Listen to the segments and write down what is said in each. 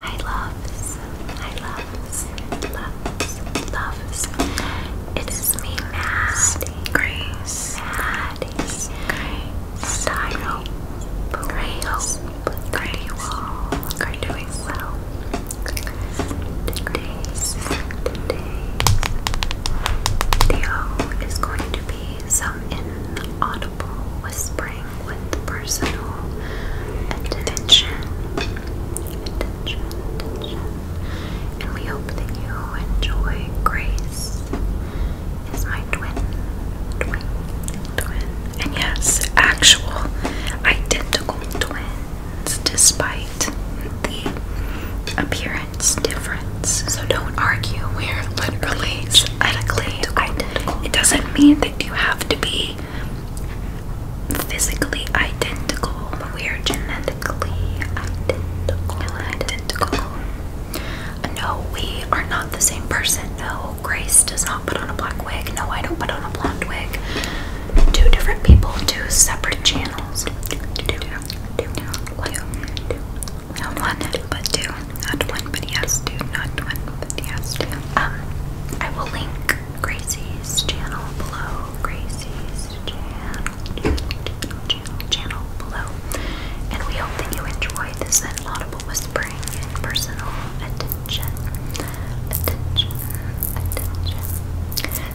I loves, I loves, loves, loves. It is me, Maddie, Grace, Maddie, Grace, I hope, I hope, Grace, you all are doing well. Today's, today's video is going to be some inaudible whispering with personal attention. And we hope that you enjoy Grace is my Twin. And yes, actual identical twins despite the appearance difference. So don't argue. We're literally identical. It doesn't mean that you have to be physically identical. We are genetically identical. Identical. No, we are not the same person. No, Grace does not put on a black wig. No, I don't put on a blonde wig. Two different people, two separate channels. one, but two. Not one, but he has Not one, but he Um, I will link Gracie's channel below. Gracie's channel, channel, channel, below. And we hope that you enjoy this inaudible whispering and personal attention. Attention, attention. Decided.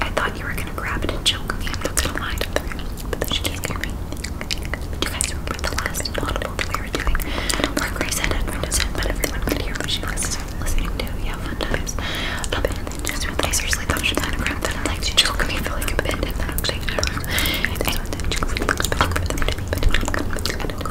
I thought you were gonna grab it and choke me. I'm not gonna lie. But then she just gave me. you guys remember the last audible we were doing? Where Grace had headphones in, but everyone could hear what she was listening to. Yeah, fun times. But then just I seriously thought she was gonna and like she choked me for like a bit I don't know. And then she looks I don't go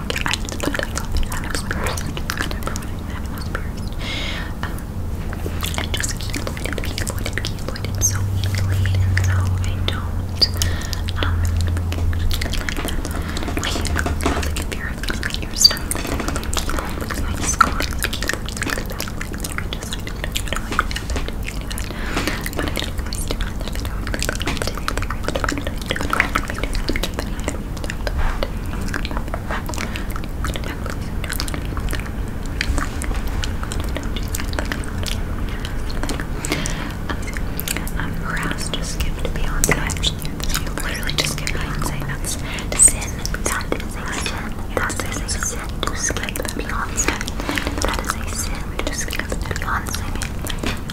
do I just put it up and it I never It was pierced. Um, I just keloided, keloided, keloided so easily, and so I don't, um, like that. Like, if you're looking at your stomach, like, I just keloid, keloid, keloid, keloid, keloid, keloid, keloid, keloid, keloid, keloid, keloid, keloid, keloid, um, Raz just skipped Beyonce. Actually, you literally just skipped Beyonce. That's sin. That is a sin. That is a sin to skip Beyonce. That is a sin to skip Beyonce.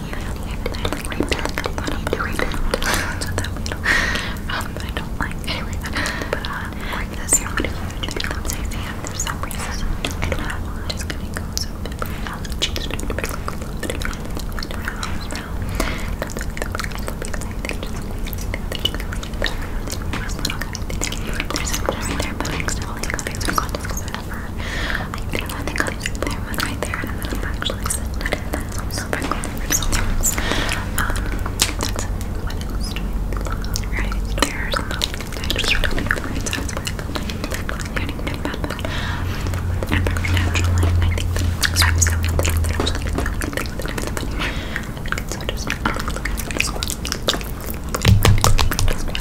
Um, I don't like anyway, but uh, like this I'm gonna huge because and for some reason I don't know why. Just gonna go so big, just gonna be like a little bit around, around. There's a right there, but I accidentally got it, so I got this whatever. I think I think I'll use their one right there, and I'm gonna actually send it in that so results. Um, that's what else do we love? Right, there's nothing. I just don't know where it's at, but I don't even know about that. And for natural light, I think that so I'm so glad that I'm actually going to think that I'm so just look at this one.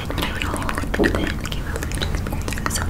and I would only really believe it if it came out from experience. So Okay,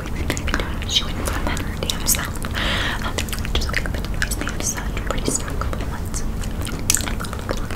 appointment. She wouldn't come back her damn self. Um, just like the noise, they have such a pretty strong couple months. I wanted to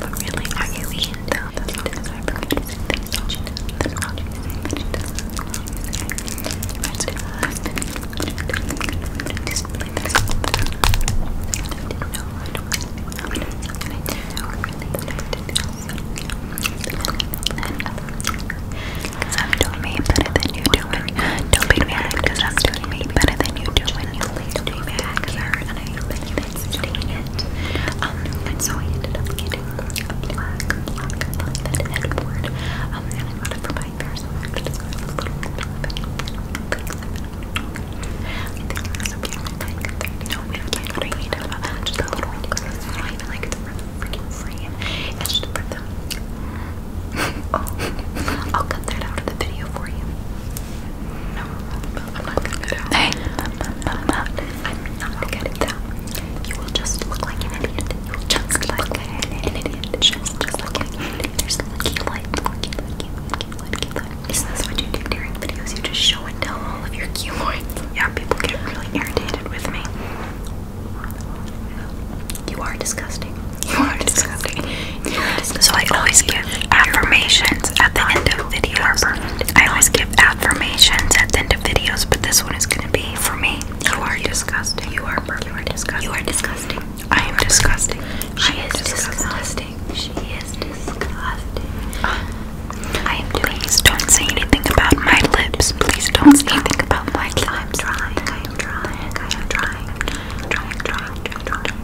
But really, are you eating though? That's all because I forget to say that's all she does. That's all she says. She does. That's all she says. Friends do that. Display this. I didn't know. I don't know. And I didn't know really that I did this. Because I'm doing me better than you do it. Don't be mad because I'm doing me better than you do when you leave. Don't be mad because I heard and I think and so I ended up getting a black, black velvet headboard. Um, and I got it for my hair, so I'm just going to put a beautiful just a little one because not even like it's freaking free. It's just for them. oh, I'll cut that out of the video for you. No, I'm not gonna get out. Hey, I'm not, I'm not gonna get out. You will just look like an idiot. You will just look like an idiot. Just, just look like an idiot. There's lucky light, lucky, lucky, lucky, lucky light. Isn't this what you do during videos? You just show and tell all of your keloids. Yeah, people get really irritated with me. You are disgusting. You are disgusting. So I always give affirmations at the end of videos. I always give affirmations at the end of videos, but this one is gonna be for me. You are disgusting. You are perfect. You are disgusting. You are disgusting. I am disgusting. She is disgusting. She is disgusting. Ah. I am Please don't say anything about my lips. Please don't say anything about my lips. I'm trying. I am trying. I am Trying.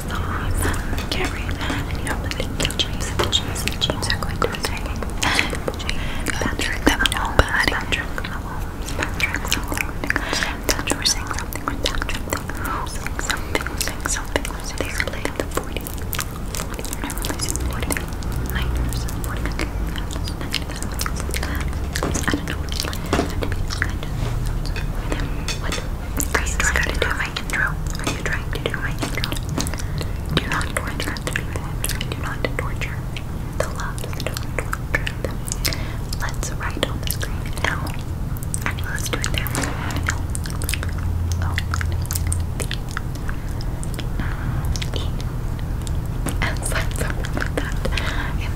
my can't read that. And you know, the James, the James, the James are going to be taking Patrick, that nobody. Patrick, Patrick, Patrick, we're saying something with Patrick. We're saying something, we're saying something. They are playing the 40. Never plays 40. Niners, 40. I don't know. I don't know. What? Are you trying to do my intro? Are you trying to do my intro? Do not torture Do not torture the loves. Let's write on the screen. No. let's do it I am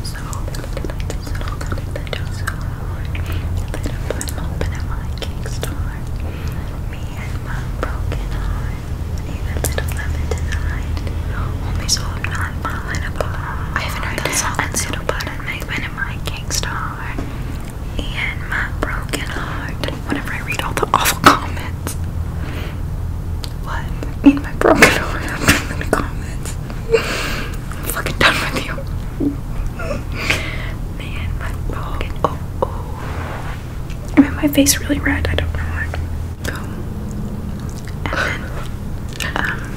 So that I put open at my kickstart. Me and my broken heart. Need a little loving tonight. Homies who I'm not falling apart. I haven't heard that song. A little I of me at my kickstart. Me and my broken heart. Whenever I read all the awful comments. What? Me and my broken heart. I'm in the comments. I'm fucking done with you. Man, my pocket. Oh, oh. my face really red. I don't know why. Boom. Um,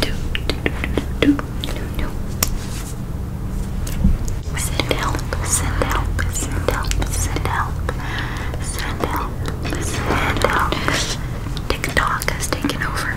do, send help, send help, send help, send help, send help. TikTok has taken over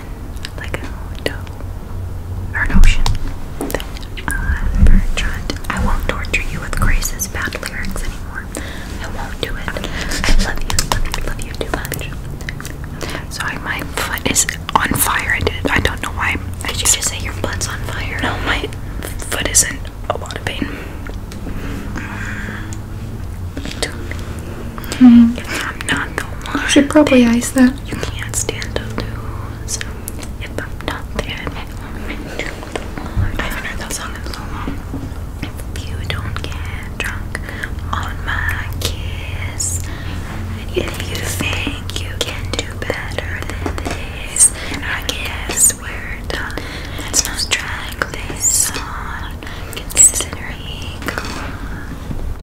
like an window or an ocean. i I won't torture you with Grace's bad lyrics anymore. I won't do it. I love you, love you, love you too much. Sorry, my foot is on fire. I did. I don't know why. I did you just say your foot's on fire? No, my foot is not a lot of pain. Hmm. I'm not the one. You should probably ice that you can't stand to lose. If I'm not there, I heard that song in so long. If you don't get drunk on my kiss, if you think you can do better than this, I guess we're done. Let's not drag this on. Consider me gone.